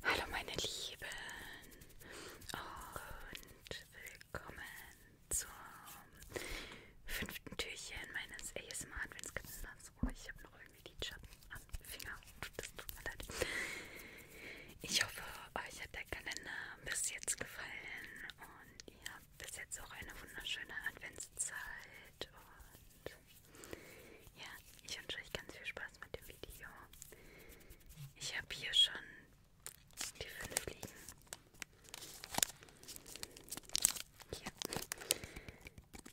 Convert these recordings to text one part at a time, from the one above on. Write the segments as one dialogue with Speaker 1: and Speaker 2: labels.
Speaker 1: Hallo meine Lieben und willkommen zum fünften Türchen meines ASMR Adventskalenders. Oh, ich habe noch irgendwie die Schatten Finger. Das tut mir leid. Ich hoffe, euch hat der Kalender bis jetzt gefallen und ihr habt bis jetzt auch eine wunderschöne Adventszeit. Und ja, ich wünsche euch ganz viel Spaß mit dem Video. Ich habe hier schon die fünf liegen. Hier.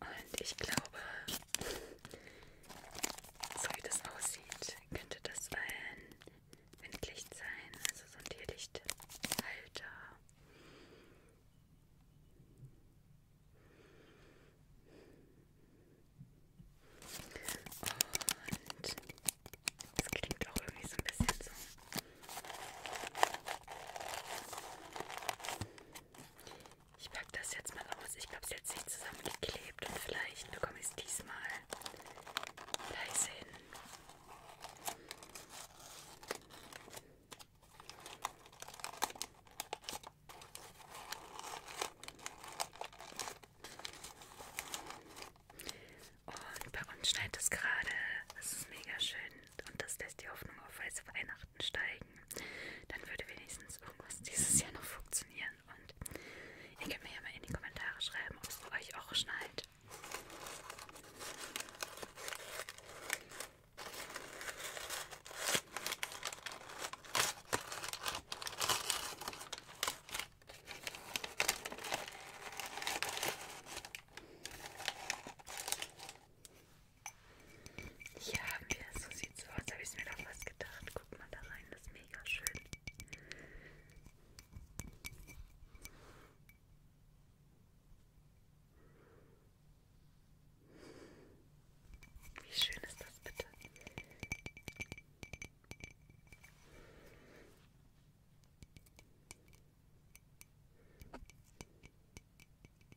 Speaker 1: Und ich glaube, so wie das aussieht, könnte das ein Windlicht sein, also so ein Tierlichthalter. Und das klingt auch irgendwie so ein bisschen so. Ich packe das jetzt mal aus. Ich glaube, es ist jetzt nicht zusammengeklebt und vielleicht bekomme ich es diesmal leise hin. Und bei uns schneit es gerade. Das ist mega schön. Und das lässt die Hoffnung auf weiße Weihnachten steigen zeigen. Dann würde wenigstens irgendwas dieses Jahr noch funktionieren. Und ihr könnt mir ja mal in die Kommentare schreiben, ob es euch auch schneit. Hier haben wir es, so sieht's aus. Da habe ich mir doch was gedacht. Guck mal da rein, das ist mega schön. Wie schön ist das bitte?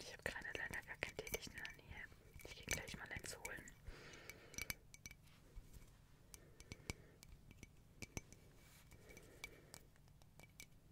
Speaker 1: Ich habe gerade leider gar keinen tätigen in der Nähe. Ich gehe gleich mal eins holen.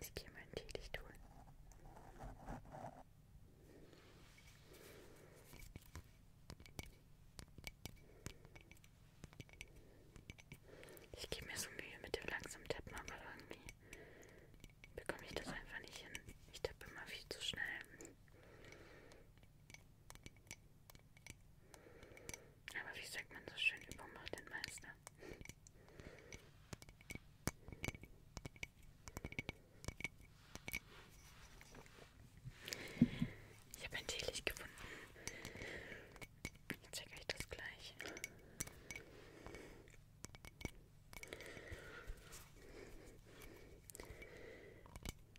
Speaker 1: Ich gehe mal ein Teelicht holen. Ich gebe mir so Mühe mit dem langsamen Tappen, aber irgendwie bekomme ich das einfach nicht hin. Ich tappe immer viel zu schnell. Aber wie sagt man so schön, Übung macht den Meister. Ich habe ein Teelicht gefunden. Ich zeige euch das gleich.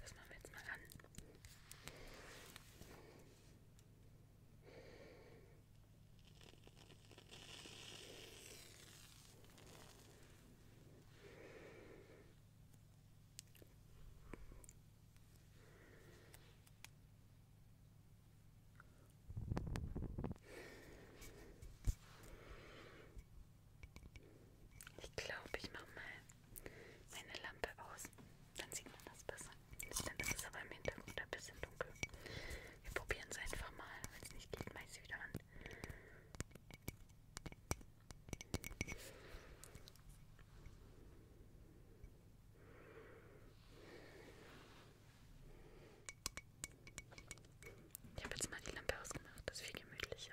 Speaker 1: Das machen wir jetzt mal an. Ich glaube, ich mache mal meine Lampe aus. Dann sieht man das besser. Dann ist es aber im Hintergrund ein bisschen dunkel. Wir probieren es einfach mal. Wenn es nicht geht, mache ich es wieder an. Ich habe jetzt mal die Lampe ausgemacht, das ist viel gemütlicher.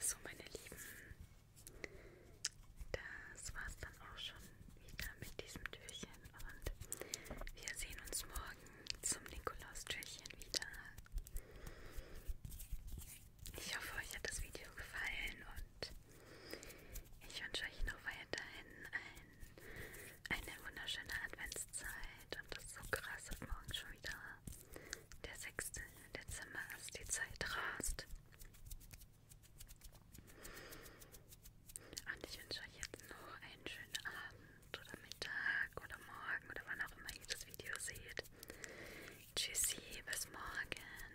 Speaker 1: So, meine Lieben, das war's dann auch schon wieder mit diesem Türchen und wir sehen uns morgen zum Nikolaustürchen wieder. Ich hoffe, euch hat das Video gefallen und ich wünsche euch noch weiterhin ein, eine wunderschöne Adventszeit und das ist so krass, dass morgen schon wieder der 6. Dezember ist, die Zeit rast. Und ich wünsche euch jetzt noch einen schönen Abend oder Mittag oder Morgen oder wann auch immer ihr das Video seht. Tschüssi, bis morgen.